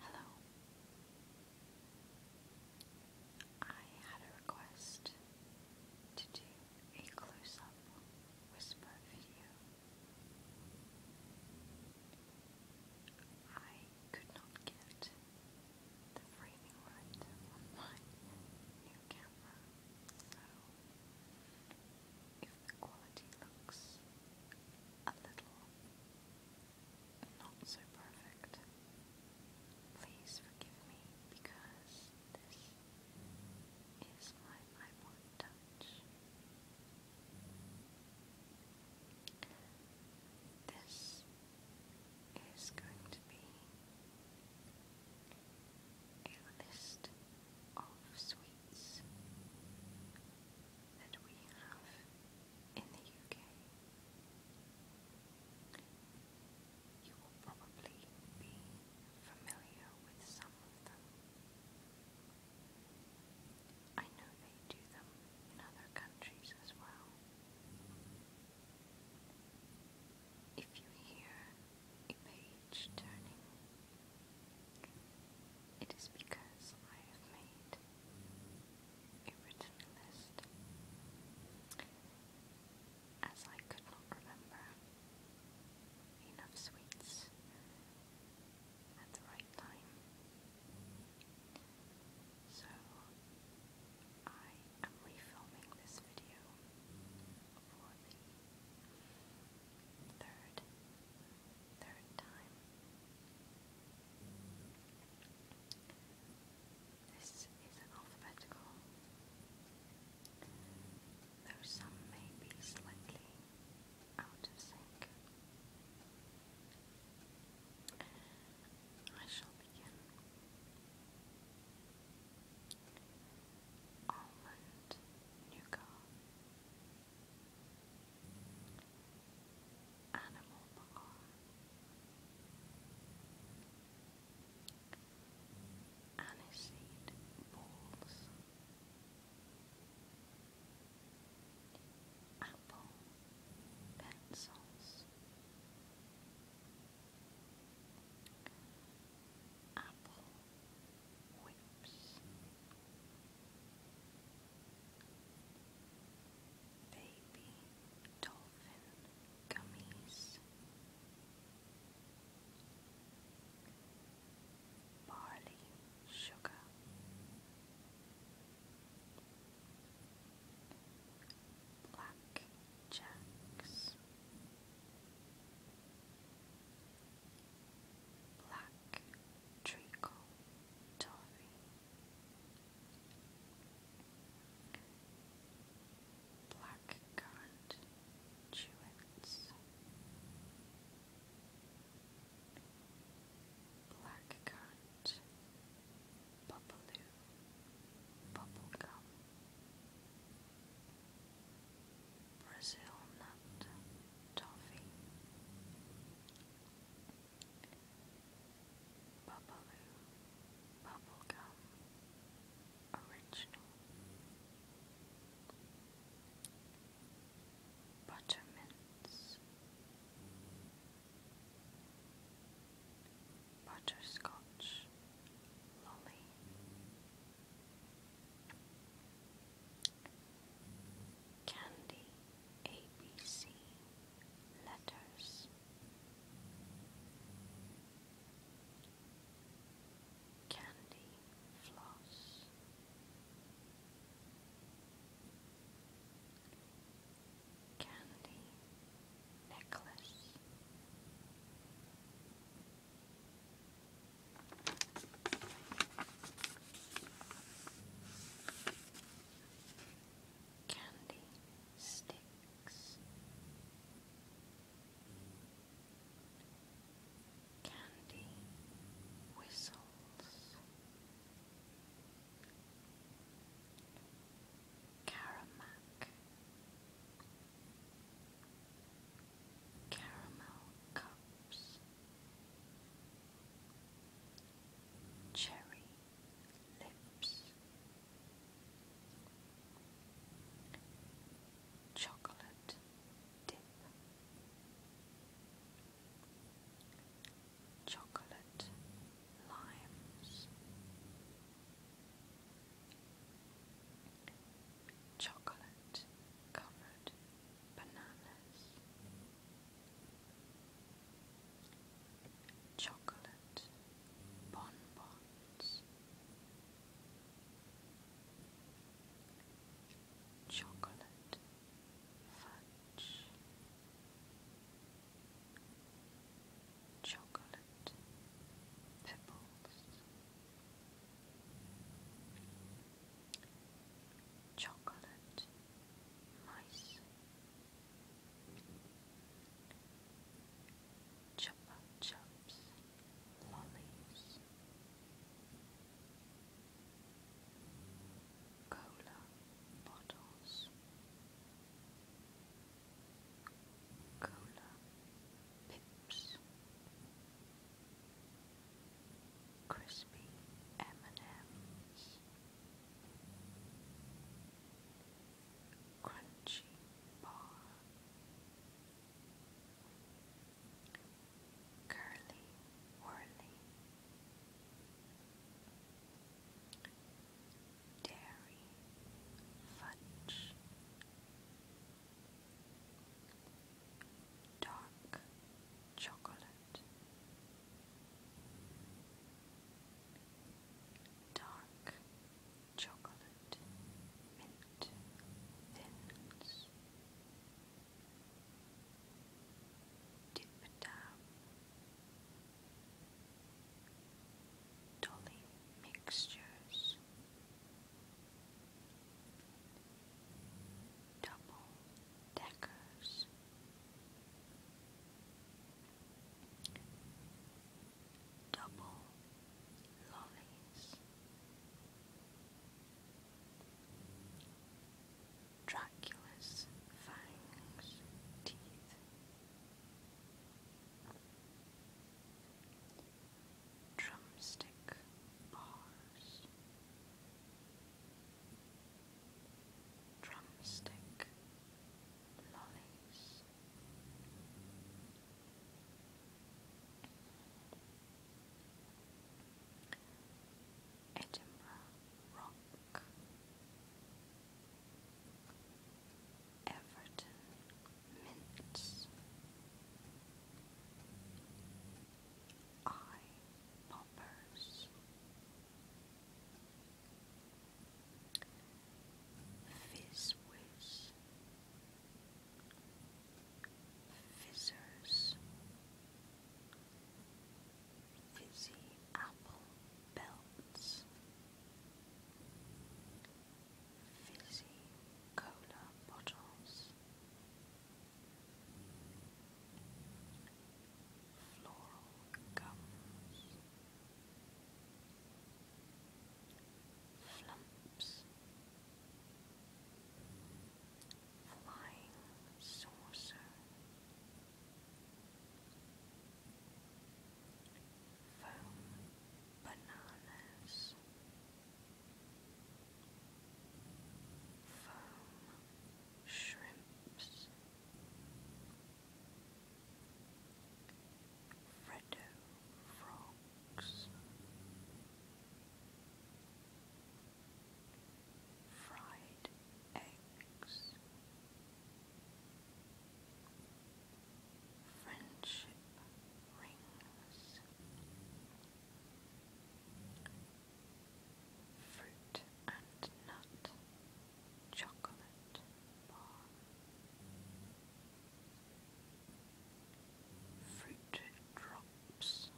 Hello. I had a request to do a close up whisper video. I could not get the framing right on my new camera. So, if the quality looks a little not so perfect, please forgive me because this is my iPod Touch. This is going to be a list of sweets that we have in the UK. You will probably be familiar with some of them. I know they do them in other countries as well. If you hear a page turning, it is because I have made a written list. As I could not remember enough sweets at the right time. So I am refilming this video before the third, third time. This is an alphabetical, though some may be slightly out of sync. I shall begin almond nougat, animal bar, aniseed balls, apple pencils apple whips, baby dolphin gummies, barley sugar. Black jacks, Black Treacle Black Currant Chewits Black Currant Bubbaloo Bubblegum Brazil nut toffee, bubblegum original, buttermints, butterscotch lolly. Candy ABC Letters Candy Floss Candy Necklace Candy sticks, candy whistles. Caramac caramel cups, cherry lips, chocolate dip, chocolate limes chocolate covered bananas, chocolate bonbons, chocolate fudge. Chocolate pebbles, chocolate mice chupa chups lollies cola bottles cola pips crispy M&Ms, crunchy bar, curly whirly, dairy fudge dark chocolate, dark chocolate, mint thins, dip down, dolly mixtures double deckers. Double lollies, Dracula's fangs, teeth, drumstick bars, drumstick lollies. Edinburgh Rock Everton mints. I poppers. Fizz Fizzers. Fizzy apple belts. Fizzy cola bottles floral gums, flumps, flying saucer. Foam bananas, foam shrimps, Freddo frogs, fried eggs, friendship rings. Fruit and nut chocolate bar. Fruit drops.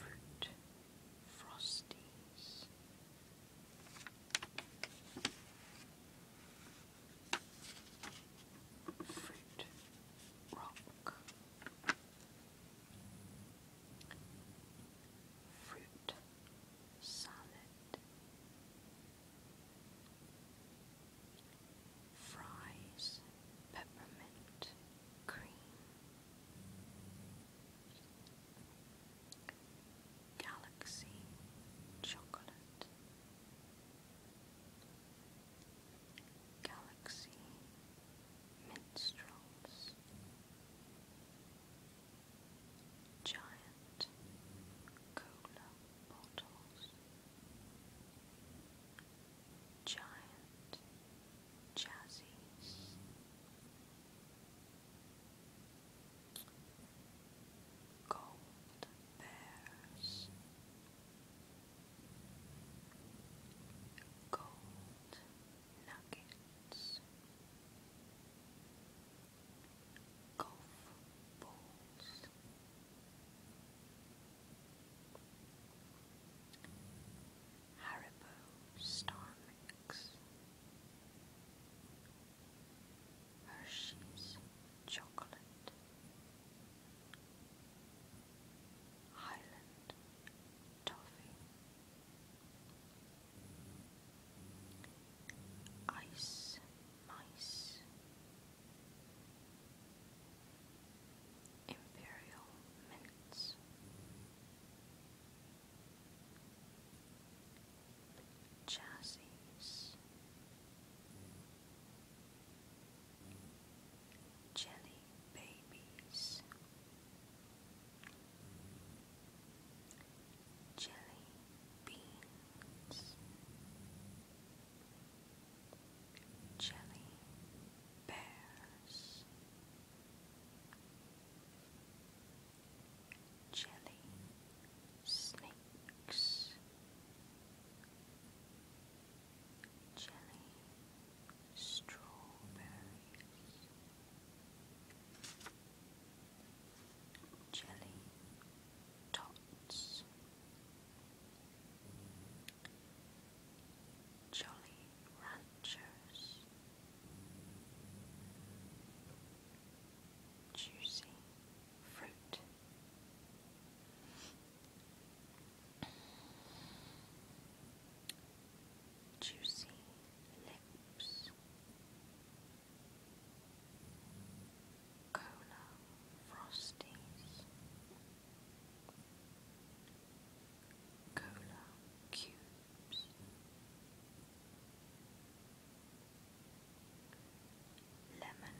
Fruit frosties. Fruit rock. Fruit salad. Fries peppermint cream. Galaxy chocolate. Galaxy Minstrels Giant Cola Bottles Giant Jazzies gold bears, gold nuggets, golf balls, Haribo Star Mix. Hershey's chocolate Highland Toffee Ice Mice Imperial Mints Chassis Jelly babies, jelly beans, jelly bears, jelly snakes, jelly, strawberries, jelly tots, jolly ranchers. Juicy fruit. Juicy lips, cola frosties, cola cubes, lemon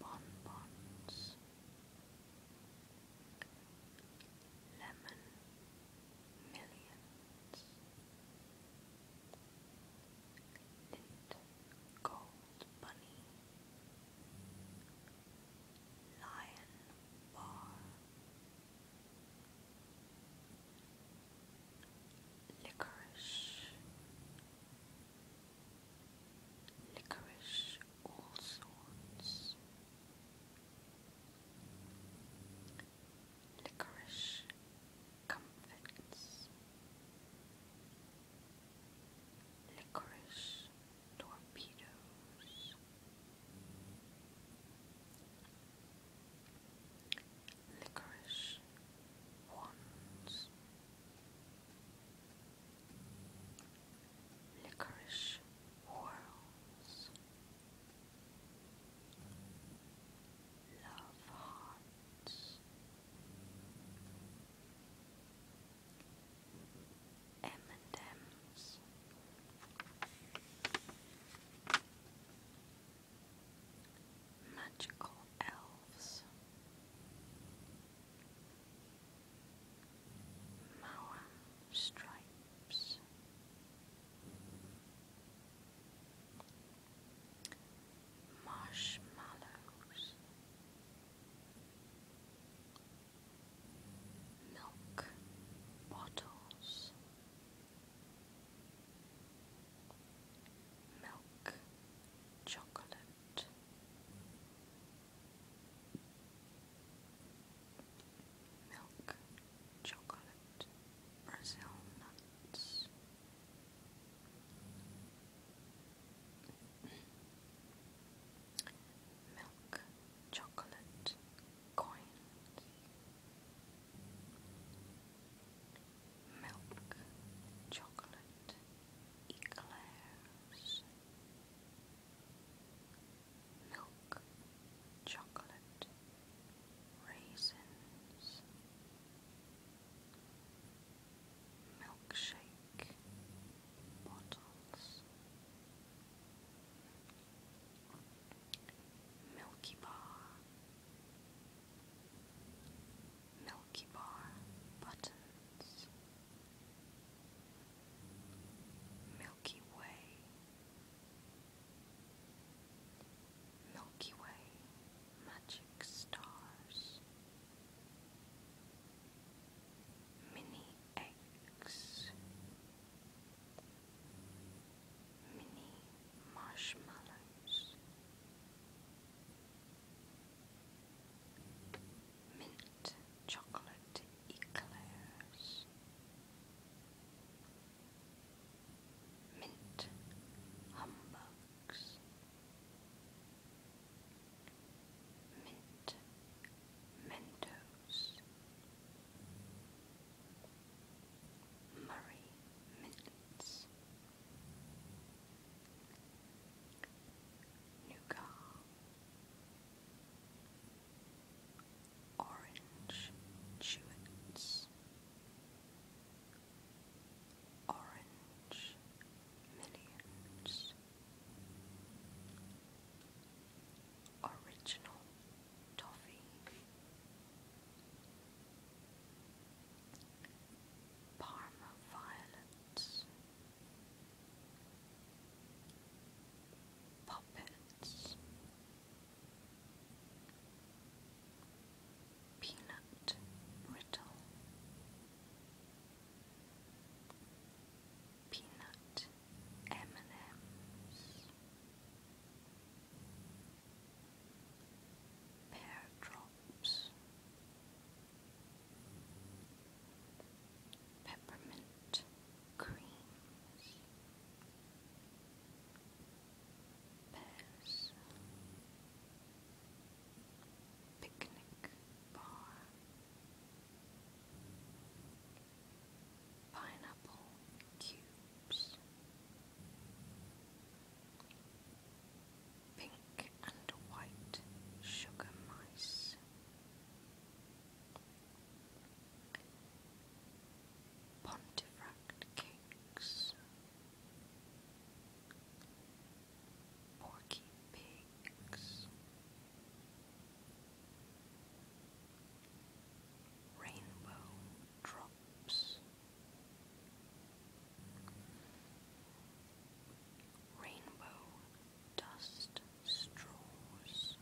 bonbons, lemon millions, gold bunny, lion bar. Licorice licorice, all sorts, licorice comfits, licorice torpedoes. Licorice wands, licorice whirls, love hearts, M&M's, magical elves themselves. stripes. Marshmallows. Milk bottles. Milk chocolate milk, chocolate, Brazil nuts. Milk, chocolate, coins, milk, chocolate, eclairs, milk, chocolate, raisins, milkshake, bottles. Milky Bar Milky Bar buttons, Milky Way, Milky Way magic stars, mini eggs, mini marshmallows mint chocolate eclairs, mint humbugs, mint mentos. Murray mints, nougat, orange chewits, orange millions, original toffee. Parma violets, Puppets. Peanut brittle. Peanut M&M's. Pear drop drops, peppermint creams, pears, picnic bar, pineapple cubes pink and white sugar mice. Pontefract cakes, porky pigs, rainbow drops, rainbow dust straws,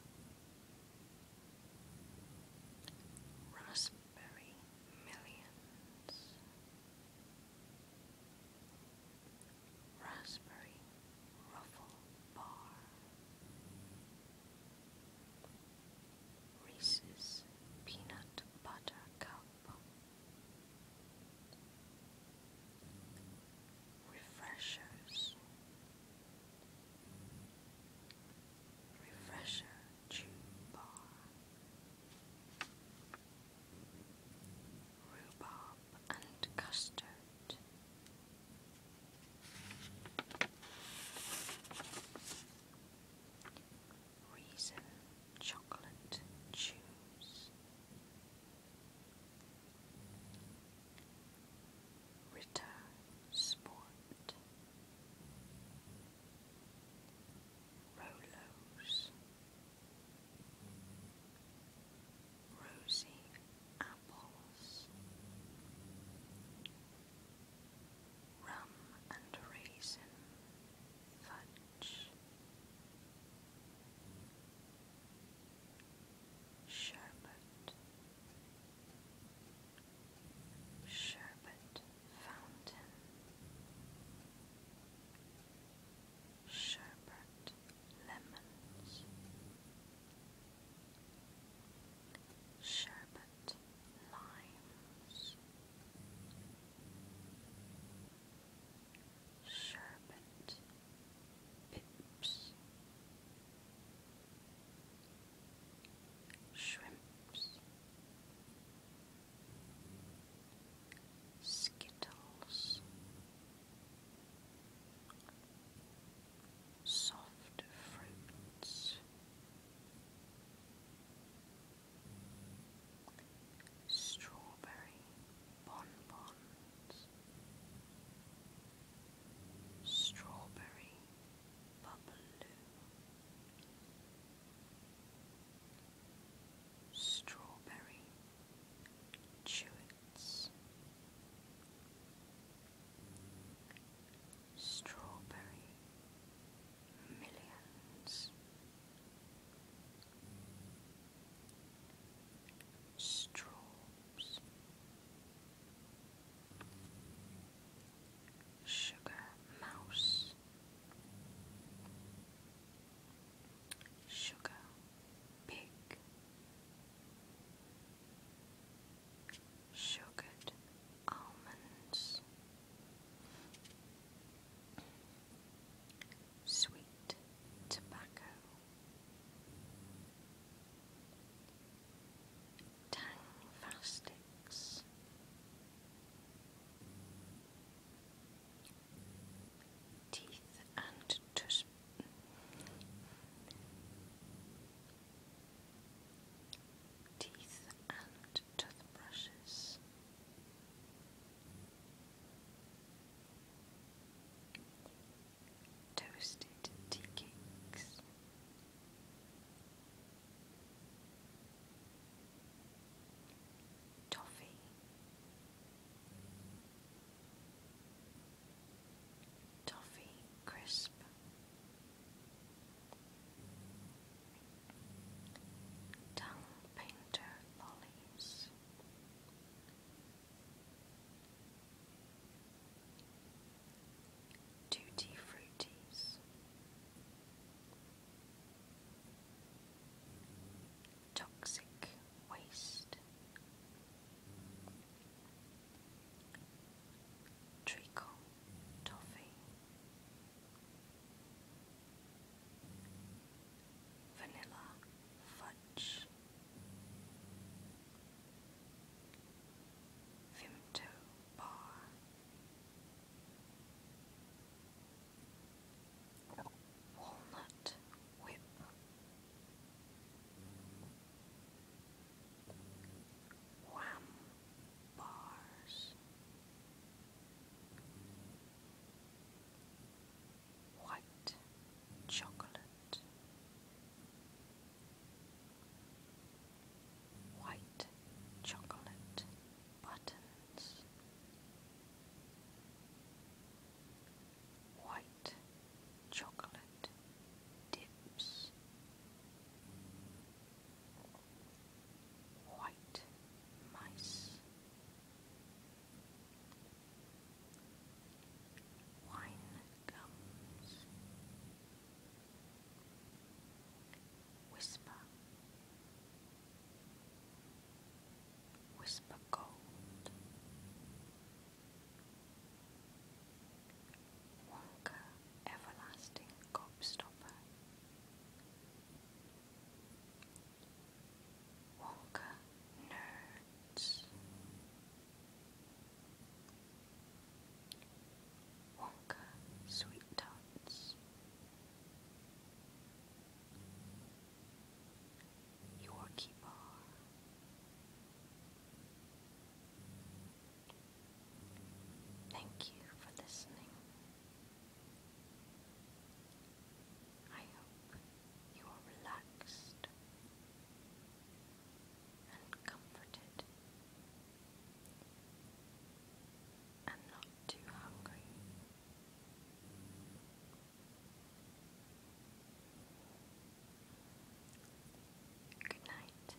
raspberry millions, raspberry ruffle bar, Reese's peanut butter cup. Refreshers. Refresher Chew Bar. Rhubarb and custard. Reason chocolate choose Return Sport Rolos Rosy Apples Rum and Raisin Fudge Sherbet, Sherbet Fountain, Sherbet Lemons, Sherbet Limes. Sherbet Shrimps Skittles Soft fruits strawberry bonbons, strawberry bubble, strawberry chewits, strawberry millions strobes, sugar mouse, sugar pig, sugared almonds. Sweet tobacco, Tang Fastics Teeth and Tus Teeth and Toothbrushes toasted tea cakes. Toffee, toffee crisp, tongue painter lollies, Tutti Fruities Toxic Waste Treacle Toffee Vanilla fudge. Vimto bar. Walnut whip. Wham bars white chocolate, white chocolate buttons, white chocolate dips. White mice, Wine comes. Whisper. Whisper gold. Wonka everlasting gobstopper. Walker Nerds Wonka Sweet Tots Yorkie Thank you for listening. I hope you are relaxed and comforted and not too hungry. Good night.